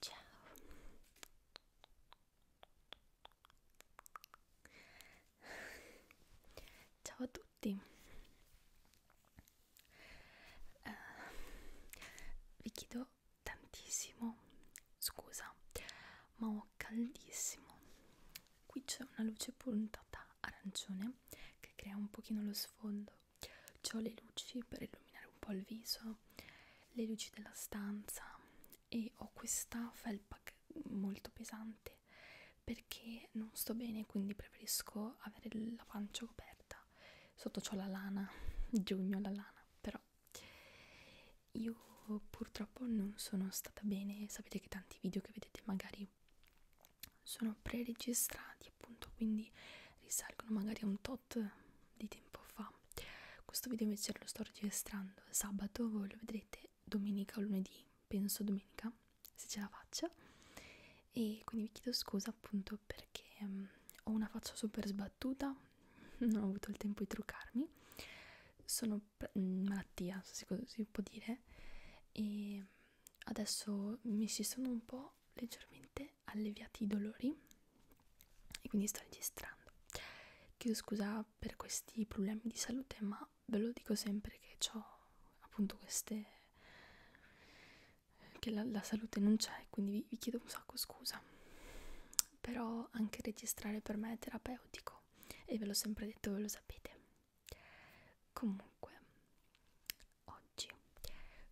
Ciao, ciao a tutti. Uh, vi chiedo tantissimo scusa, ma ho caldissimo qui c'è una luce puntata arancione che crea un pochino lo sfondo c ho le luci per illuminare un po' il viso le luci della stanza e ho questa felpa molto pesante perché non sto bene quindi preferisco avere la pancia coperta sotto c'ho la lana giugno la lana però io purtroppo non sono stata bene, sapete che tanti video che vedete magari sono preregistrati appunto, quindi risalgono magari a un tot di tempo fa. Questo video invece lo sto registrando sabato, voi lo vedrete domenica o lunedì, penso domenica, se ce la faccio. E quindi vi chiedo scusa appunto perché um, ho una faccia super sbattuta, non ho avuto il tempo di truccarmi. Sono Mm, malattia, se si può dire, e adesso mi si sono un po' leggermente alleviati i dolori e quindi sto registrando. Chiedo scusa per questi problemi di salute, ma ve lo dico sempre che ho appunto queste che la, la salute non c'è, quindi vi, vi chiedo un sacco scusa. Però anche registrare per me è terapeutico no e ve l'ho sempre detto ve lo sapete comunque oggi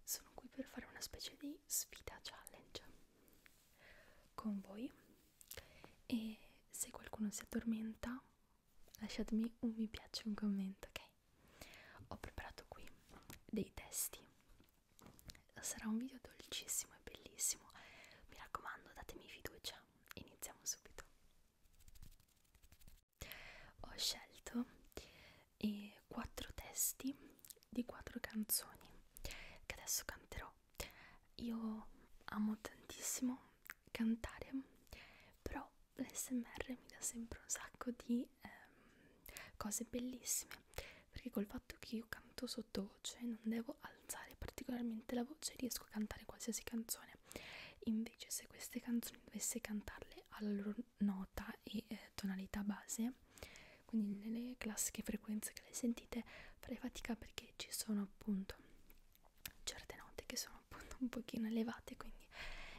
sono qui per fare una specie di sfida challenge con voi e se qualcuno si addormenta lasciatemi un mi piace un commento ok ho preparato qui dei testi sarà un video dolcissimo e bellissimo mi raccomando datemi fiducia iniziamo subito. Ho scelto eh, quattro testi di quattro canzoni che adesso canterò. Io amo tantissimo cantare, però l'SMR mi dà sempre un sacco di ehm, cose bellissime perché col fatto che io canto sottovoce non devo alzare particolarmente la voce riesco a cantare qualsiasi canzone invece se queste canzoni dovesse cantarle alla loro nota e eh, tonalità base quindi nelle classiche frequenze che le sentite farei fatica perché ci sono appunto certe note che sono appunto un pochino elevate quindi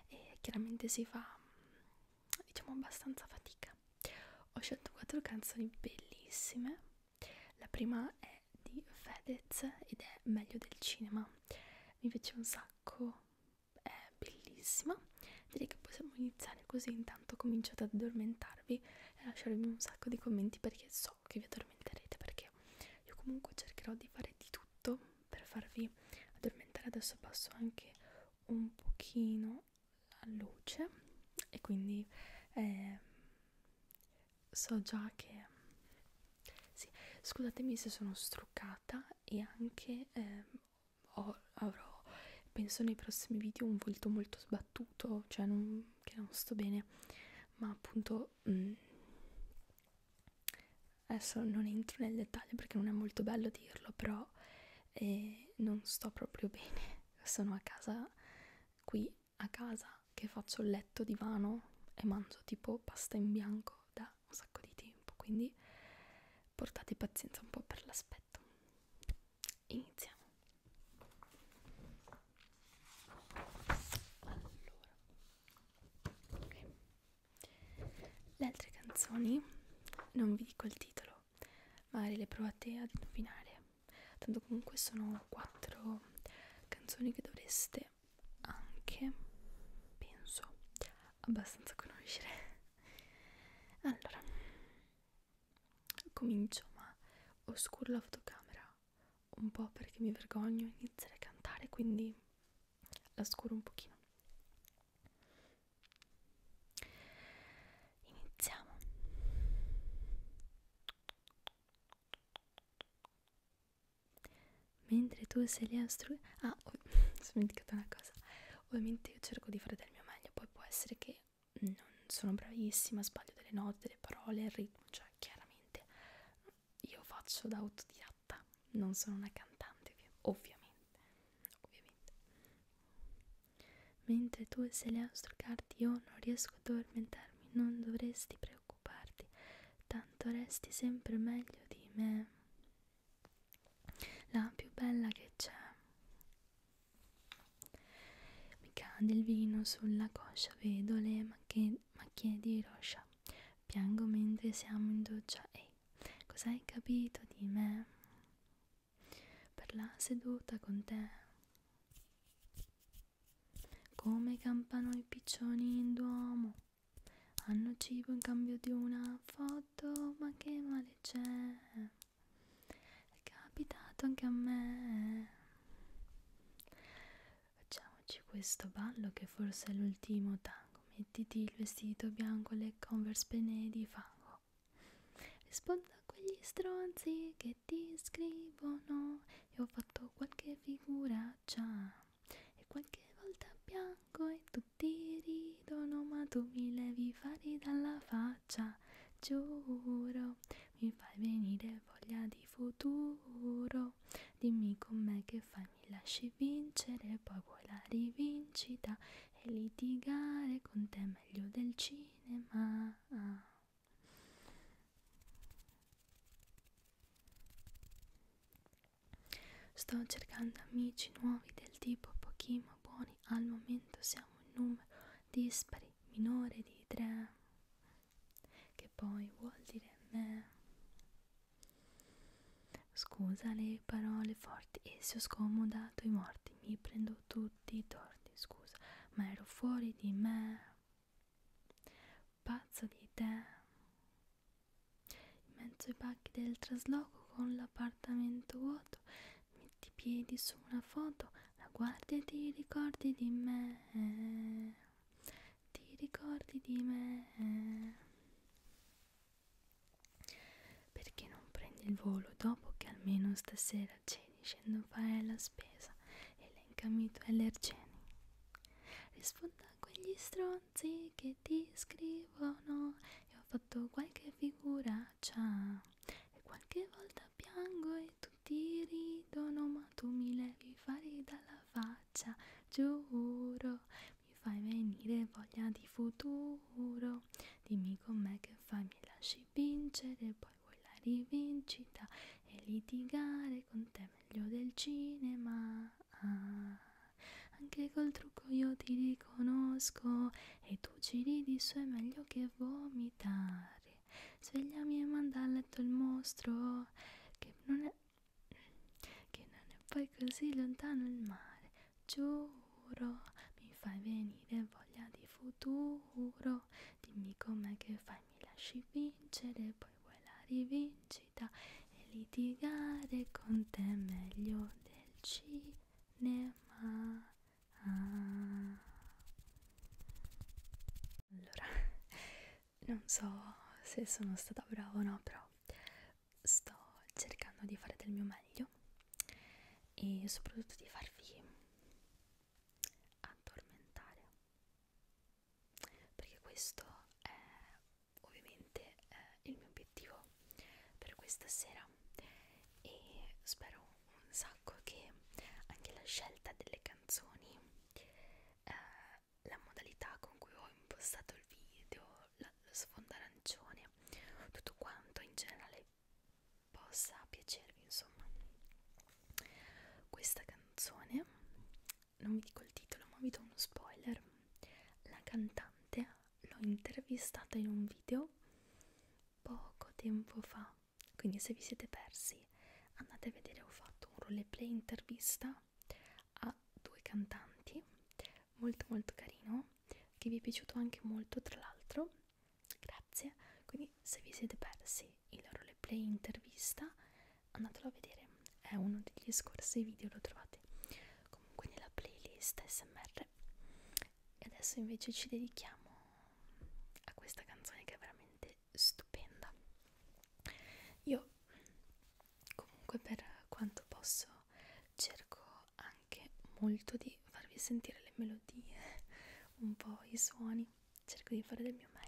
eh, chiaramente si fa diciamo abbastanza fatica ho scelto quattro canzoni bellissime la prima è di Fedez ed è Meglio del cinema. Mi piace un sacco, è bellissima. Direi che possiamo iniziare così intanto cominciate ad addormentarvi e lasciarvi un sacco di commenti perché so che vi addormenterete perché io comunque cercherò di fare di tutto per farvi addormentare. Adesso passo anche un pochino la luce e quindi eh, so già che sì, scusatemi se sono struccata e anche eh, ho, avrò penso nei prossimi video un volto molto sbattuto cioè non, che non sto bene ma appunto mh, mm, adesso non entro nel dettaglio perché non è molto bello dirlo però eh, non sto proprio bene sono a casa qui a casa che faccio il letto divano e mangio tipo pasta in bianco da un sacco di tempo, quindi portate pazienza un po' per l'aspetto. Iniziamo. Allora. Okay. Le altre canzoni non vi dico il titolo, magari le provate ad indovinare. Tanto comunque sono quattro canzoni che dovreste anche penso abbastanza conoscere allora comincio ma oscuro la fotocamera un po' perché mi vergogno di iniziare a cantare quindi la scuro un pochino iniziamo mentre tu sei lì a stru- ah, oh, sono dimenticata una cosa ovviamente io cerco di fare del mio meglio poi può essere che non sono bravissima sbaglio delle note, delle parole, il ritmo cioè chiaramente io faccio da autodidatta non sono una cantante ovviamente ovviamente mentre tu sei lì a struccarti io non riesco a addormentarmi non dovresti preoccuparti preoccuparti, tanto resti sempre meglio di me, la più bella che c'è. Mi cade il vino sulla coscia, vedo le macchie, macchie di roscia, piango mentre siamo in doccia. Ehi, cos'hai capito di me? Per la seduta con te. Come campano i piccioni in Duomo, hanno cibo in cambio di una foto, ma che male c'è? È capitato anche a me. Facciamoci questo ballo che forse è l'ultimo tango. Mettiti il vestito bianco e le converse pene di fango. Rispondo a quegli stronzi che ti scrivono. Io ho fatto qualche figuraccia e qualche volta bianco e tutti ridono ma tu mi levi fari dalla faccia giuro mi fai venire voglia di futuro dimmi com'è che fai mi lasci vincere poi vuoi la rivincita e litigare con te meglio del cinema Sto cercando amici nuovi del tipo pochi ma buoni, al momento siamo in numero dispari minore di tre, che poi vuol dire me. Scusa le parole forti e se ho scomodato i morti, mi prendo tutti i torti, scusa, ma ero fuori di me. Pazzo di te. In mezzo ai pacchi del trasloco con l'appartamento vuoto, metti i piedi su una foto, la guardi e ti ricordi di me. Ti ricordi di me. Perché non prendi il volo dopo che almeno stasera ceni, scendo a fare la spesa, elencami i tuoi allergeni. Rispondo a quegli stronzi che ti scrivono E ho fatto qualche figuraccia E qualche volta piango e tutti ridono Ma tu mi levi i fari dalla faccia, giuro Mi fai venire voglia di futuro Dimmi com'è che fai, mi lasci vincere Poi vuoi la rivincita e litigare con te meglio del cinema. Ah, anche col trucco io ti riconosco e tu ci ridi su è meglio che vomitare. Svegliami e manda a letto il mostro che non è, che non è poi così lontano il mare. Giuro, mi fai venire voglia di futuro. Dimmi com'è che fai, mi lasci vincere, poi vuoi la rivincita velocità e litigare con te è meglio del cinema ah. allora non so se sono stata brava o no però sto cercando di fare del mio meglio e soprattutto di farvi addormentare perché questo è ovviamente eh, il mio obiettivo per questa sera e spero un sacco che anche la scelta delle canzoni eh, la modalità con cui ho impostato il video la, lo sfondo arancione tutto quanto in generale possa piacervi insomma questa canzone non vi dico il titolo ma vi do uno spoiler la cantante l'ho intervistata in un video poco tempo fa quindi se vi siete persi andate a vedere ho fatto un roleplay intervista a due cantanti molto molto carino che vi è piaciuto anche molto tra l'altro grazie quindi se vi siete persi il roleplay intervista andatelo a vedere è uno degli scorsi video lo trovate comunque nella playlist smr e adesso invece ci dedichiamo a questa canzone che è veramente stupenda io comunque per quanto posso cerco anche molto di farvi sentire le melodie un po' i suoni cerco di fare del mio meglio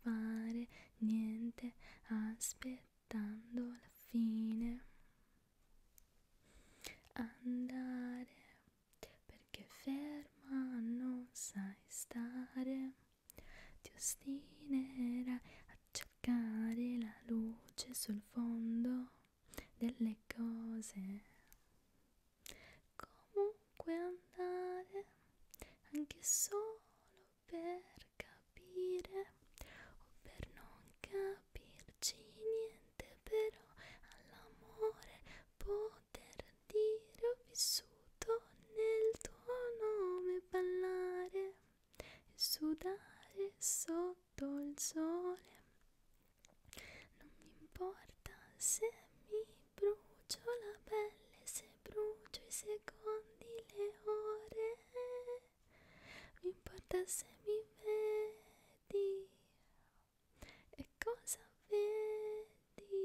fare niente aspettando la fine andare perché ferma non sai stare ti ostinerai a cercare la luce sul fondo delle cose come ovunque andare, anche solo per capire o per non capirci niente, però all'amore poter dire ho vissuto nel tuo nome, ballare e sudare sotto il sole. Non mi importa se mi brucio la pelle se brucio i secondi, le ore, mi importa se mi vedi e cosa vedi,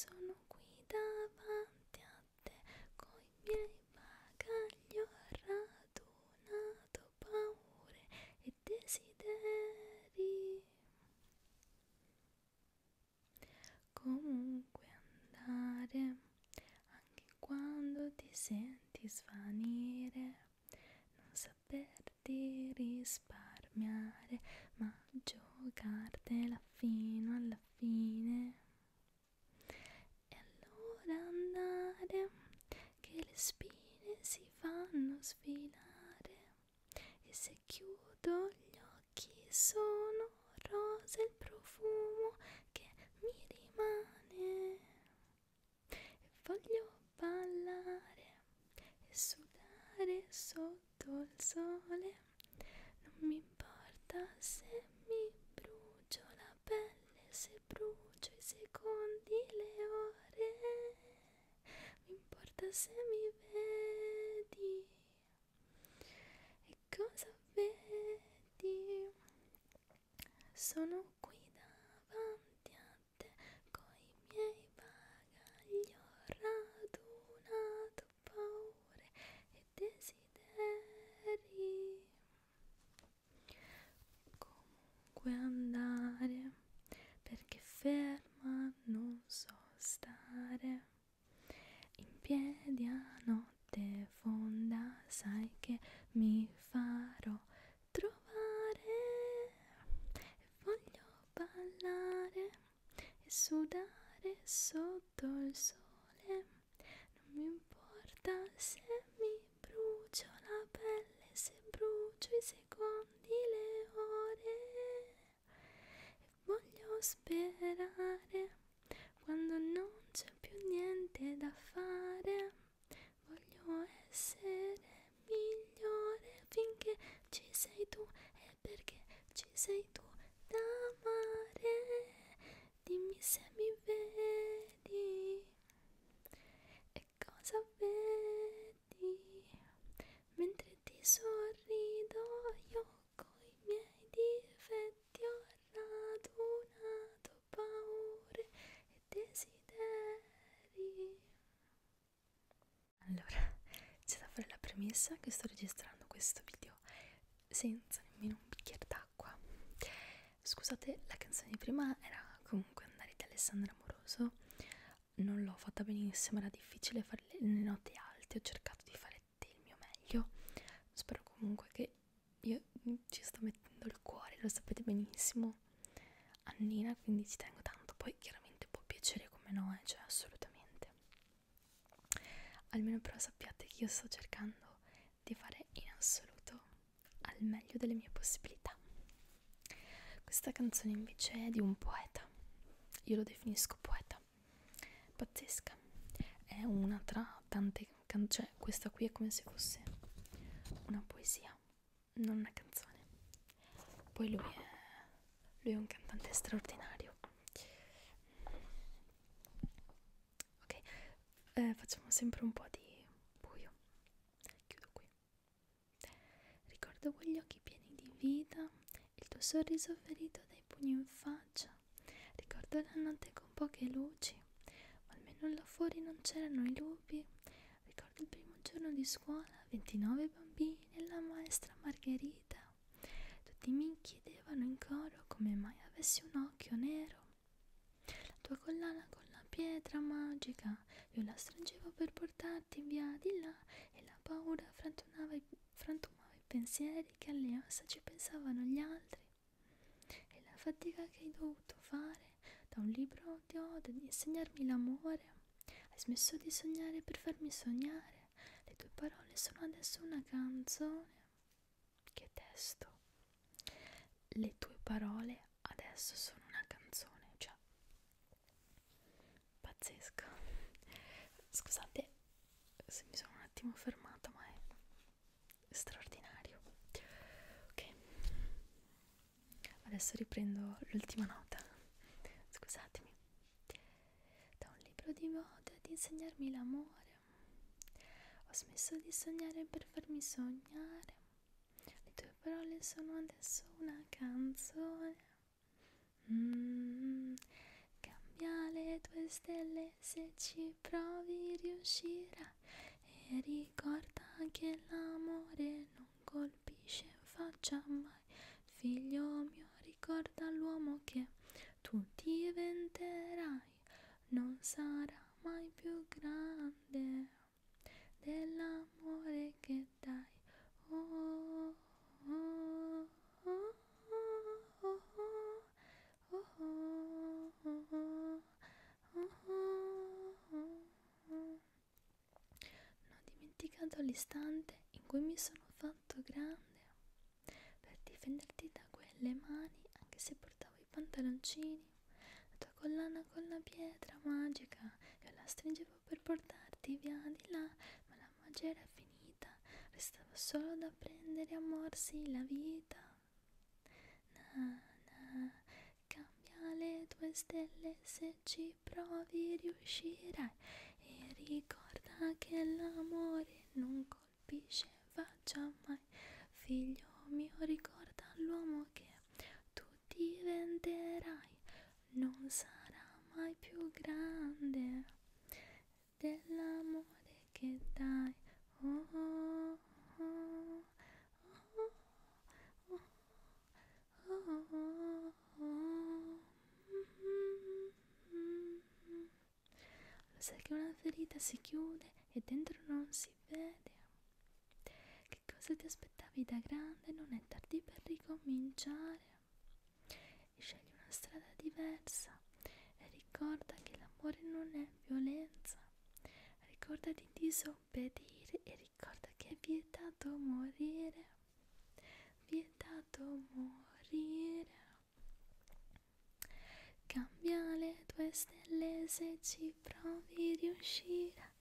sono qui davanti a te coi miei bagagli ho radunato paure e desideri comunque andare anche quando ti senti svanire non saperti risparmiare ma giocartela fino alla fine e allora andare che le spine si fanno sfilare e se chiudo gli occhi sono rosa il profumo che mi rimane e voglio ballare e sudare sotto il sole non mi importa se mi brucio la pelle se brucio i secondi le ore mi importa se mi vedi e cosa vedi? Sono qui davanti a te coi miei bagagli ho radunato paure e desideri comunque andare perché ferma non so stare in piedi a notte fonda, sai che mi farò trovare. Voglio ballare e sudare sotto il sole. Non mi importa se mi brucio la pelle, se brucio i secondi, le ore. Voglio sperare quando non c'è più niente da fare. Voglio essere migliore finché ci sei tu e perché ci sei tu da amare. Dimmi se mi vedi e cosa vedi mentre ti sorrido io coi miei difetti ho radunato paure e desideri. Allora, c'è da fare la premessa che sto registrando questo video senza nemmeno un bicchiere d'acqua. Scusate, la canzone di prima era comunque andare di Alessandra Amoroso. Non l'ho fatta benissimo, era difficile fare le note alte, ho cercato di fare il mio meglio spero comunque che io ci sto mettendo il cuore lo sapete benissimo Annina quindi ci tengo tanto poi chiaramente può piacere come no eh, cioè assolutamente almeno però sappiate che io sto cercando di fare in assoluto al meglio delle mie possibilità questa canzone invece è di un poeta io lo definisco poeta pazzesca pazzesca è una tra tante cioè questa qui è come se fosse una poesia non una canzone poi lui è, lui è un cantante straordinario ok eh, facciamo sempre un po' di buio chiudo qui ricordo quegli occhi pieni di vita il tuo sorriso ferito dai pugni in faccia. Ricordo la notte con poche luci, ma almeno là fuori non c'erano i lupi. Ricordo il primo giorno di scuola, 29 bambini e la maestra Margherita. Tutti mi chiedevano in coro come mai avessi un occhio nero. La tua collana con la pietra magica, io la stringevo per portarti via di là e la paura frantumava i, frantumava i pensieri che all'EOS ci pensavano gli altri e la fatica che hai dovuto fare da un libro di ode di insegnarmi l'amore. Hai smesso di sognare per farmi sognare. Le tue parole sono adesso una canzone. Che testo. Le tue parole adesso sono una canzone, cioè pazzesco. Scusate, se mi sono un attimo fermata ma è straordinario ok adesso riprendo l'ultima nota scusatemi da un libro di moda ad insegnarmi l'amore ho smesso di sognare per farmi sognare le tue parole sono adesso una canzone Mm, cambia le tue stelle se ci provi riuscirai e ricorda che l'amore non colpisce in faccia mai figlio mio ricorda l'uomo che tu diventerai non sarà mai più grande dell'amore che dai oh, oh, oh. Non ho dimenticato l'istante in cui mi sono fatto grande per difenderti da quelle mani, anche se portavo i pantaloncini, la tua collana con la pietra magica, io la stringevo per portarti via di là, ma la la magia era finita, restava solo da prendere a morsi la vita. Na, na, cambia le tue stelle, se ci provi riuscirai. E ricorda che l'amore non colpisce faccia mai. Figlio mio, ricorda l'uomo che tu diventerai, non sarà mai più grande dell'amore che dai. Oh, oh, oh, oh, oh, oh, oh. Lo sai che una ferita si chiude e dentro non si vede. Che cosa ti aspettavi da grande? Non è tardi per ricominciare e scegli una strada diversa e ricorda che l'amore non è violenza. Ricorda di disobbedire e ricorda che è vietato morire. Vietato morire. Cambia le tue stelle se ci provi riuscire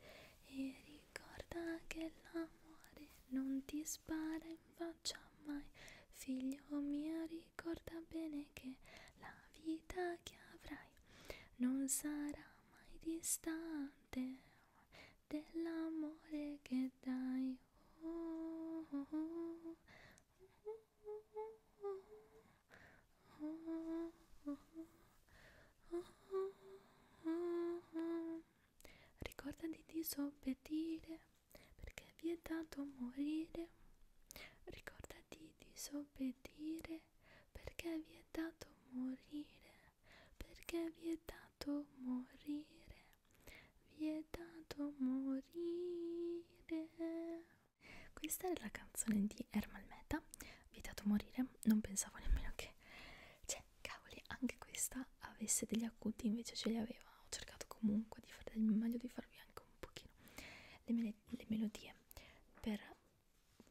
e ricorda che l'amore non ti spara in faccia mai Figlio mio ricorda bene che la vita che avrai Non sarà mai distante dell'amore che dai oh, oh, oh, oh, oh, oh, oh, oh, oh. Ricorda di disobbedire perché è vietato morire. Ricordati di disobbedire, perché è vietato morire, perché è vietato morire, vietato morire. Questa è la canzone di Ermal Meta, vietato morire, non pensavo nemmeno che... Cioè, cavoli, anche questa avesse degli acuti, invece ce li aveva. Ho cercato comunque di fare del meglio di far migliorarvi anche un pochino le, mele le melodie per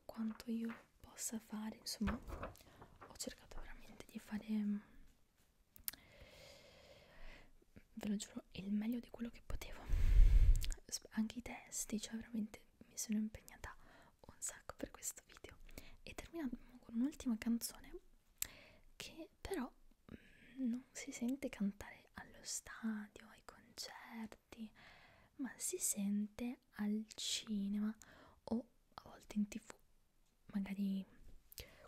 quanto io possa fare insomma ho cercato veramente di fare mm, ve lo giuro il meglio di quello che potevo anche i testi cioè veramente mi sono impegnata un sacco per questo video e terminiamo con un'ultima canzone che però non si sente cantare allo stadio, ai concerti, ma si sente al cinema o a volte in tv, magari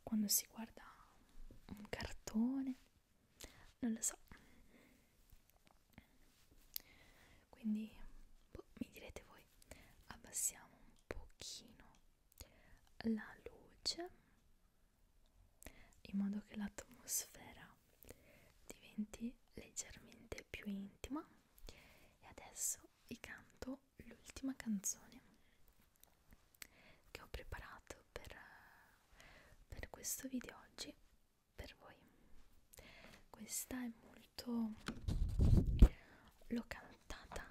quando si guarda un cartone, non lo so. Quindi boh, mi direte voi, abbassiamo un pochino la luce in modo che l'atmosfera diventi leggermente più intima e adesso vi canto l'ultima canzone che ho preparato per, per questo video oggi per voi questa è molto l'ho cantata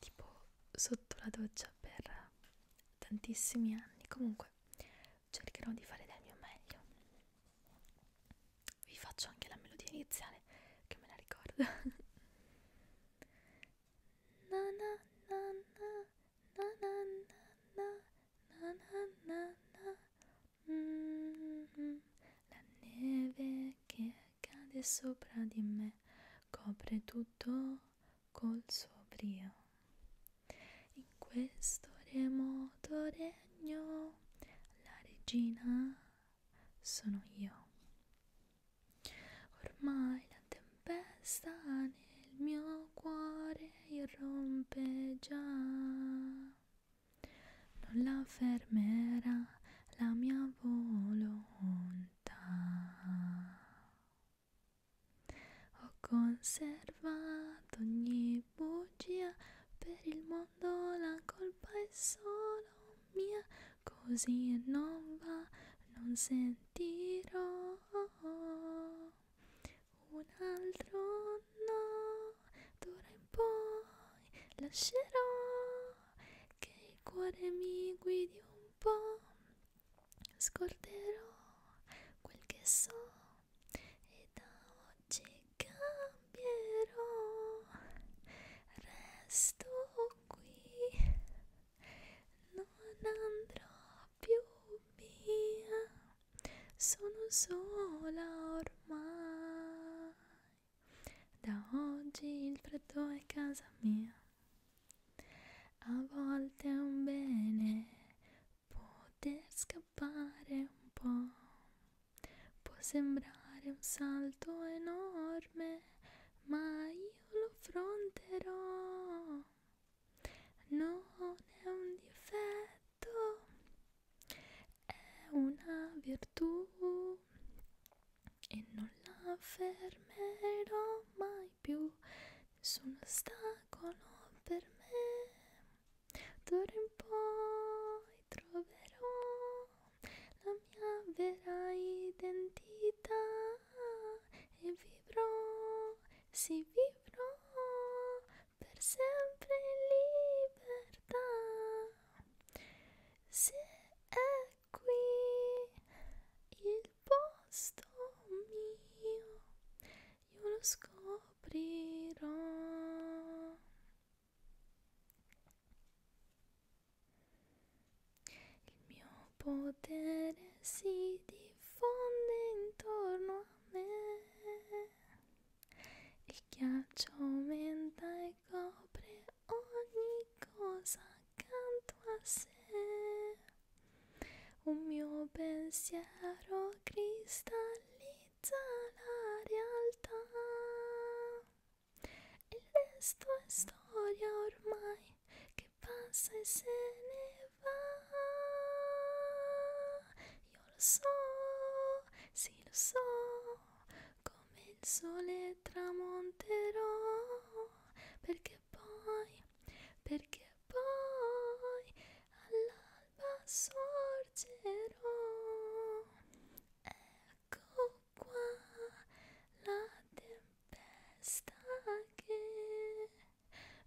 tipo sotto la doccia per tantissimi anni comunque cercherò di fare del mio meglio vi faccio anche la melodia iniziale che me la ricordo na na na na na na na na na na na mm -hmm. la neve che cade sopra di me copre tutto col suo brio. In questo remoto regno la regina sono io. Ormai la tempesta nel mio cuore irrompe già. Non la fermerà la mia volontà. Ho conservato ogni bugia, per il mondo la colpa è solo mia, così non va, non sentirò un altro no, d'ora in poi lascerò che il cuore mi guidi un tempo scorderò quel che so e da oggi cambierò resto qui non andrò più via sono sola ormai da oggi il freddo è casa mia a volte è un bene poter scappare un po'. Può sembrare un salto enorme, ma io lo affronterò. Non è un difetto, è una virtù e non la fermerò mai più su un ostacolo per me. D'ora in poi troverò la mia vera identità e vivrò, sì vivrò per sempre in libertà. Se è qui il posto mio io lo scoprirò il mio potere si diffonde intorno a me il ghiaccio aumenta e copre ogni cosa accanto a sé un mio pensiero cristallizza la realtà. Il resto è storia ormai che passa e se ne va. Io lo so, sì lo so, come il sole tramonterò, perché poi perché poi all'alba sorgerò. Ecco qua la tempesta che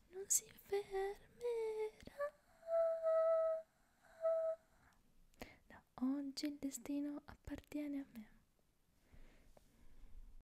non si fermerà. Da oggi il destino appartiene a me.